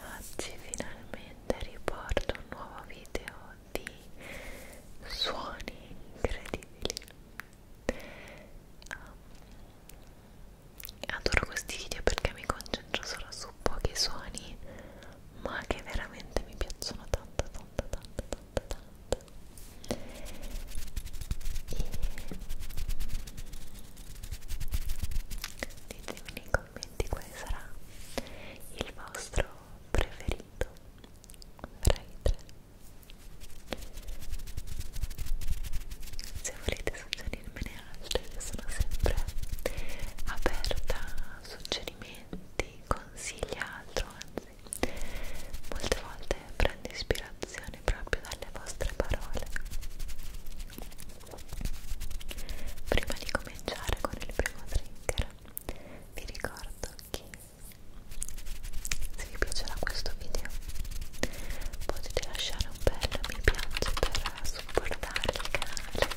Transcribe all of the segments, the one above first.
Oggi finalmente riporto un nuovo video di suoni incredibili. Um, adoro questi video perché mi concentro solo su pochi suoni, ma che veramente mi piacciono tanto, tanto, tanto, tanto tanto tanto e ditemi nei commenti quale sarà il vostro preferito fra i tre se volete suggerirmene altri io sono sempre aperta a suggerimenti consigli altro anzi Molte volte prendo ispirazione proprio dalle vostre parole. Prima di cominciare con il primo trigger, vi ricordo che se vi piacerà questo video potete lasciare un bello mi piace per supportare il canale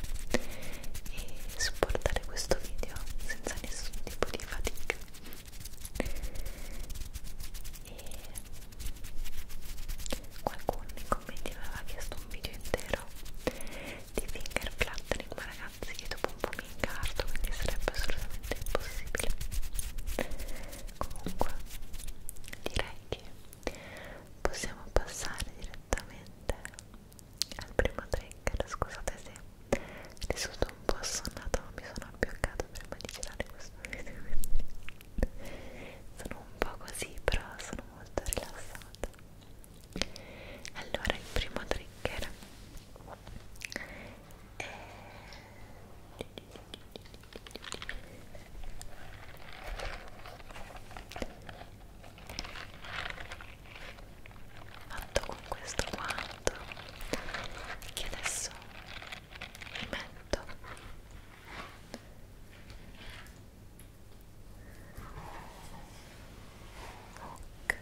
e supportare questo video senza nessun tipo di fatica e qualcuno nei commenti mi aveva chiesto un video intero di finger flattering ma ragazzi io dopo un po' mi incarto quindi sarebbe assolutamente impossibile comunque direi che possiamo passare direttamente al primo trigger scusate se risulto un po' assonnata ma mi sono abbioccata prima di girare questo video sono un po' così però sono molto rilassata allora il primo trigger è fatto con questo qua fatto certo. che adesso mi metto ok ok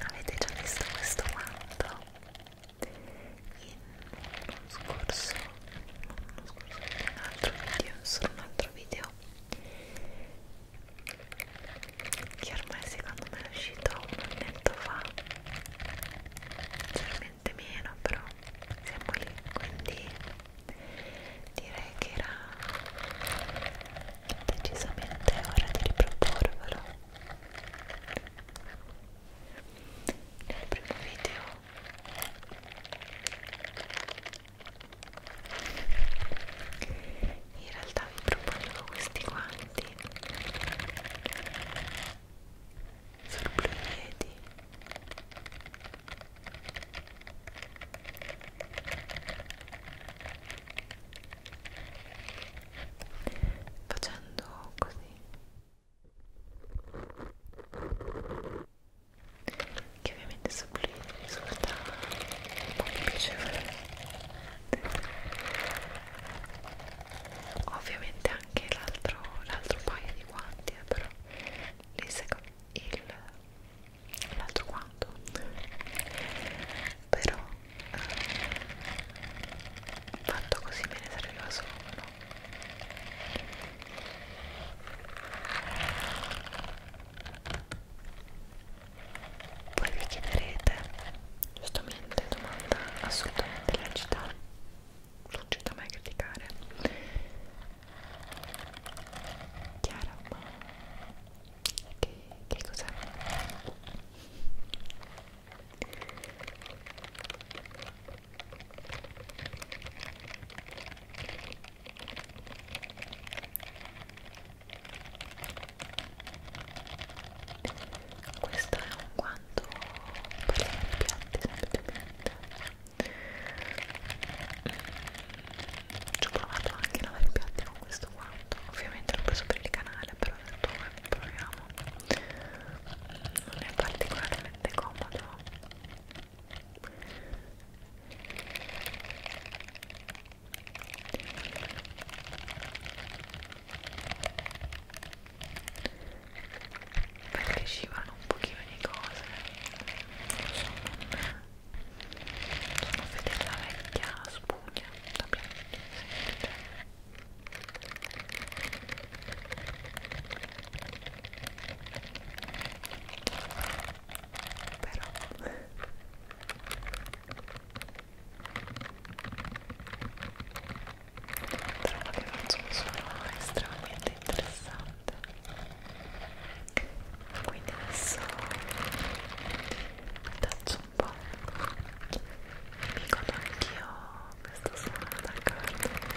Avete già visto questo manto? in uno scorso, uno scorso in un altro video, solo un altro video che ormai secondo me è uscito un annetto fa leggermente meno però siamo lì quindi direi che era decisamente ora di riproporvelo nel primo video in realtà vi proponevo questi guanti sul blu piedi facendo così che ovviamente supplire risulta un po' più piacevole ovviamente anche l'altro paio di guanti eh, però lì secondo l'altro guanto però eh, fatto così me ne serviva solo uno poi vi chiederete, giustamente, domanda assolutamente lecita, non mai criticare. Chiara, ma che, che cos'è? questo è un guanto per le piante semplicemente ci ho provato anche a lavare i piatti con questo guanto ovviamente l'ho preso per il canale però ho detto proviamo non è particolarmente comodo perché scivolano un pochino di cose sono fedele alla vecchia spugna da piangere sentite però trovo che faccio un suono estremamente interessante quindi adesso taccio un po' mi godo anch'io questo suono d'accordo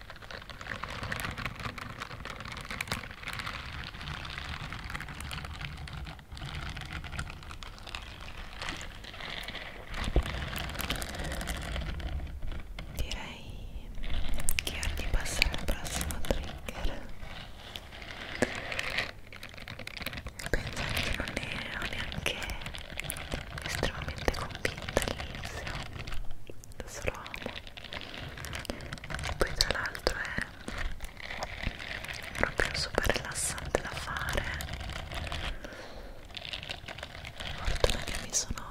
Direi che ora di passare al prossimo trigger. Penso che non ne ho neanche estremamente convinta all'inizio adesso lo amo e poi tra l'altro è proprio super rilassante da fare fortuna che mi sono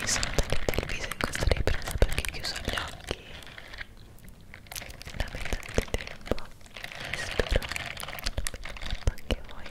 mi sono tagliata il viso in questa ripresa perché ho chiuso gli occhi la metà del tempo e spero non mi anche voi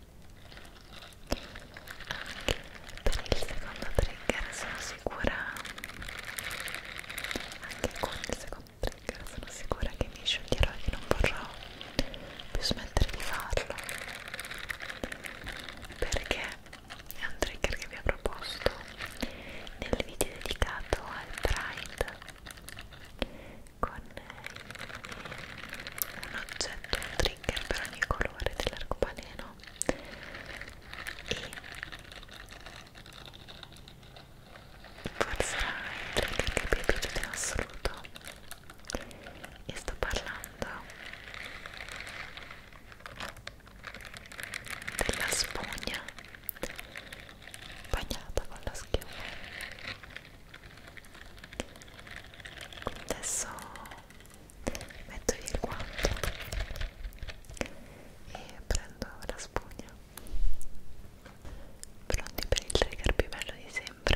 per il secondo trigger sono sicura anche con il secondo trigger sono sicura che mi scioglierò e che non vorrò più smettere di farlo perché è un trigger che vi ho proposto nel video dedicato al Pride con un oggetto, un trigger per ogni colore dell'arcobaleno no? E forse era il trailer che mi è piaciuto in assoluto e sto parlando della spugna bagnata con la schiuma adesso metto via il guanto e prendo la spugna pronti per il trigger più bello di sempre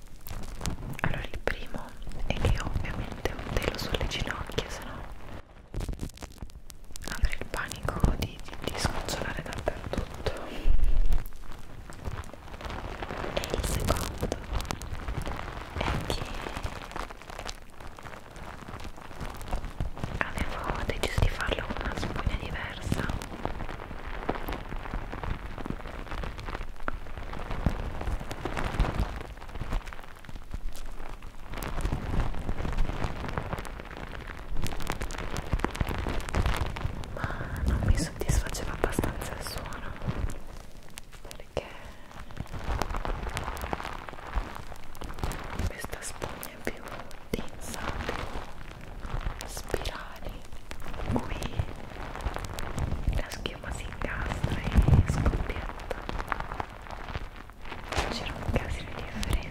allora il primo è che ovviamente ho un telo sulle ginocchia se no avrei il panico di, di, di scocciolare dappertutto e il secondo è che avevo deciso di farlo con una spugna diversa ma non mi soddisfaceva abbastanza il suono perché questa spugna è più densa, più spirali qui la schiuma si incastra e scoppietta non c'era un casino di differenza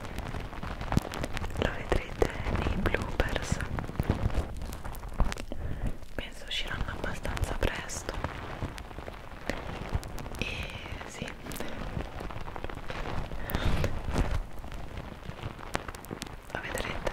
lo vedrete nei bloopers penso usciranno abbastanza presto e sì lo vedrete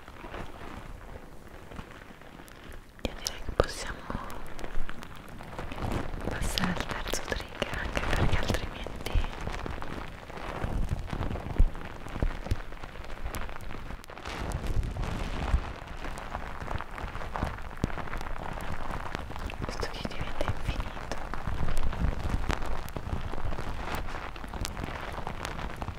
Io direi che possiamo passare al terzo trigger anche perché altrimenti questo video diventa infinito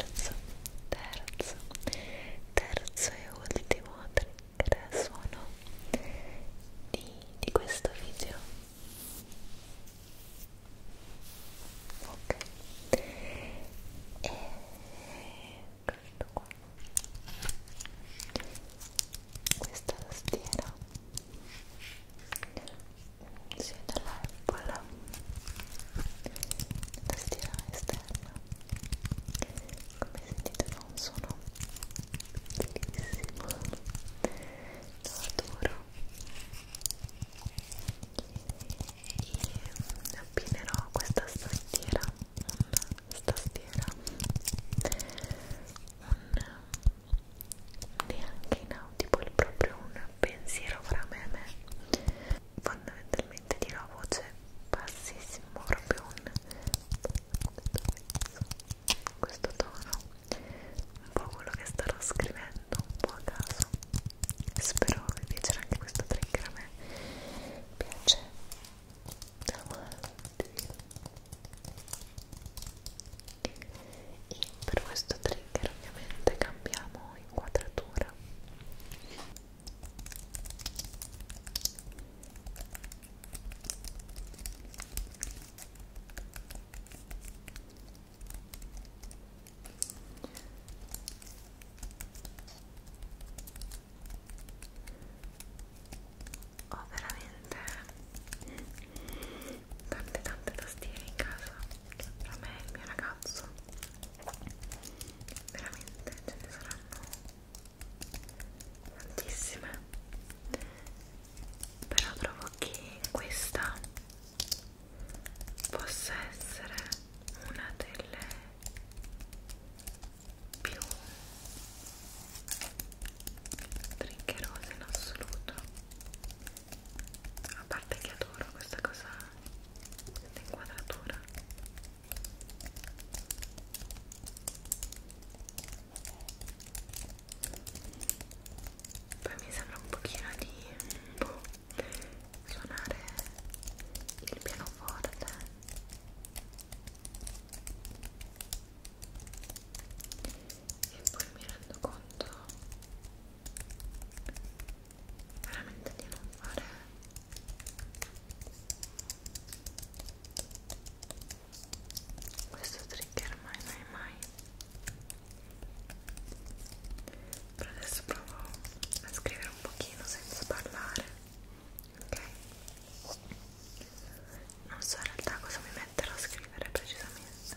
terzo, terzo, terzo e ultimo trigger suono di, di questo video ok e questo qua questa tastiera sì, dalla Apple tastiera esterna come sentite fa un suono bellissimo lo adoro e appinerò questa tastiera una tastiera un neanche inaudibile proprio un pensiero fra me e me fondamentalmente dirò a voce bassissima proprio un questo tono un po' quello che starò scrivendo un po' a caso spero vi piacerà anche questo trigger a me piace davanti e per questo trigger ovviamente cambiamo inquadratura ho veramente tante tante tastiere in casa tra me e il mio ragazzo veramente ce ne saranno tantissime però trovo che questa possa essere una delle più triggerose in assoluto a parte che adoro questa cosa dell'inquadratura poi mi sembra un pochino di boh, suonare il pianoforte e poi mi rendo conto veramente di non fare questo trigger mai mai mai però adesso provo a scrivere un pochino senza parlare ok non so in realtà cosa mi metterò a scrivere precisamente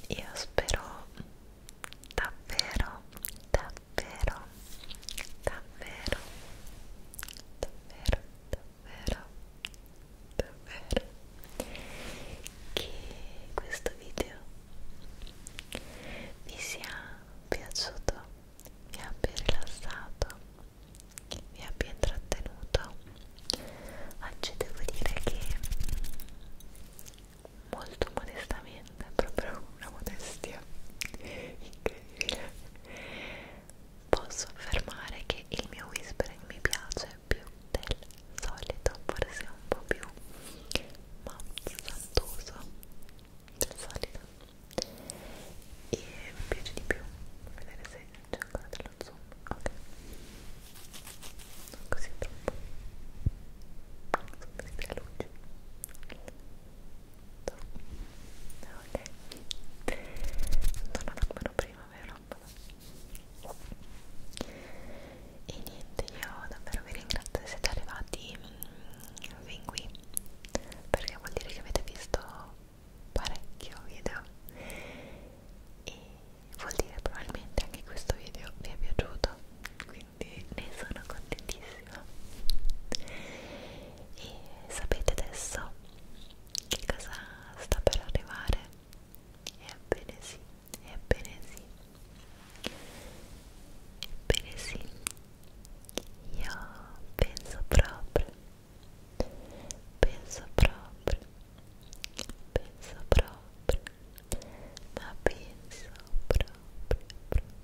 Bene, io spero davvero, davvero, davvero, davvero, davvero, davvero che questo video vi sia piaciuto, vi abbia rilassato, vi abbia intrattenuto. Oggi devo dire che molto modestamente niente, è proprio una modestia incredibile posso affermare che il mio whispering mi piace più del solito forse un po' più mazzantoso del solito e mi piace di più vedere se c'è ancora dello zoom ok non così troppo non so, mi luce ok non almeno prima vero? e niente io davvero vi ringrazio se siete arrivati mm, fin qui perché vuol dire che avete visto parecchio video e vuol dire probabilmente anche questo video vi è piaciuto quindi quindi ne sono contentissima e sapete adesso che cosa sta per arrivare? ebbene sì, ebbene sì ebbene sì io penso proprio penso proprio penso proprio ma penso proprio, proprio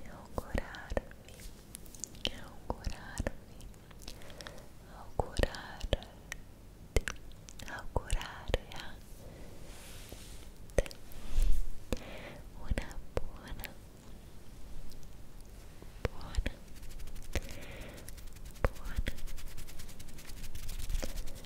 e augurarvi, e augurarvi, augurarti, augurare a te una buona, buona, buona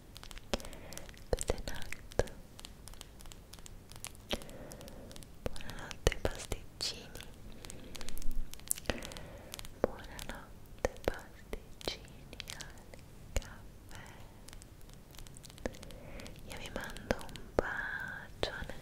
Buonanotte Buonanotte pasticcini Buonanotte pasticcini al caffè Io vi mando un bacione